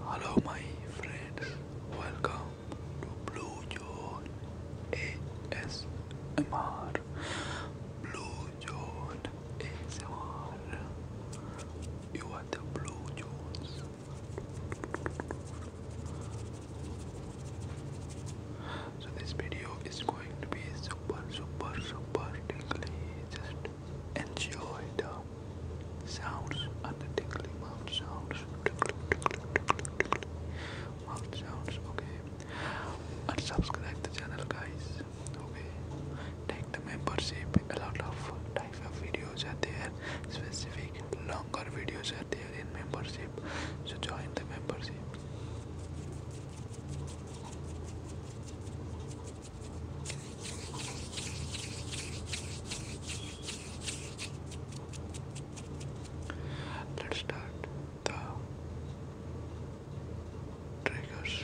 Hello, my friends. Welcome to Blue John ASMR. Blue ASMR. You are the Blue so this video is going to be super, super, super tingly. Just enjoy the sounds and the tingly mouth sounds. Tickly, Mouth sounds, okay. And subscribe the channel, guys. Okay. Take the membership. A lot of type of videos are there. Specific longer videos are there in membership. So join the membership. Let's start the triggers.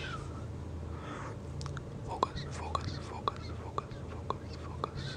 Focus, focus, focus, focus, focus, focus.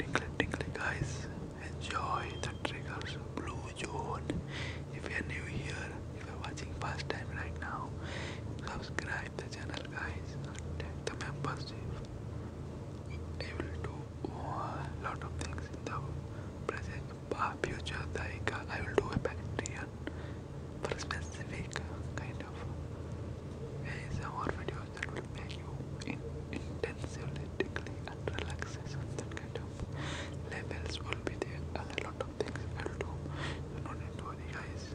Tinkle, tinkle, guys. Enjoy the triggers, Blue Zone. If you're new here, if you're watching first time right now, subscribe the channel other guys the members if they will do a lot of things in the present future uh, I will do a Patreon for specific kind of ASMR videos that will make you in intensively and relaxation that kind of levels will be there and a lot of things I will do so not need to guys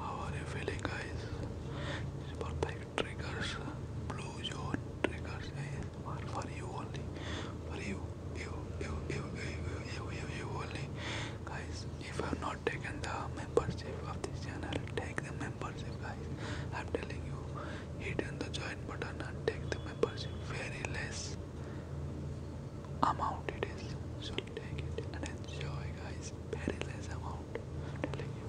How are you feeling, guys? It's triggers, blue zone triggers, what, you want? What you, you, you, you, you, you, only? Guys, if I have not taken the membership of this channel, take the membership, guys. I'm telling you, hit on the join button and take the membership. Very less amount it is, so take it and enjoy, guys. Very less amount. I'm telling you,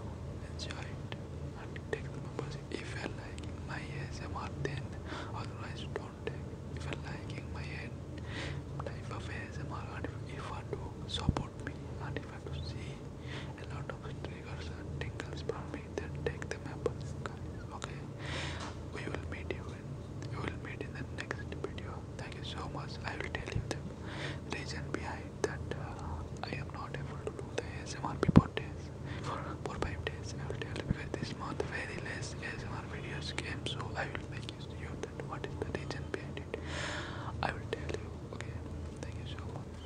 enjoy it and take the membership. If you like liking my ASMR, then otherwise don't take. If you like liking my type of ASMR, and if you want to support me, and if want to see a lot of triggers and tingles from me, then take the members, Okay, we will meet you. In, we will meet in the next video. Thank you so much. I will tell you the reason behind that uh, I am not able to do the ASMR before this for 4-5 days I will tell you because this month very less ASMR videos came so I will make you see that what is the reason behind it I will tell you okay thank you so much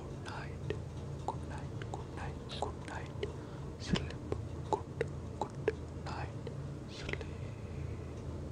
good night good night good night good night sleep good good night sleep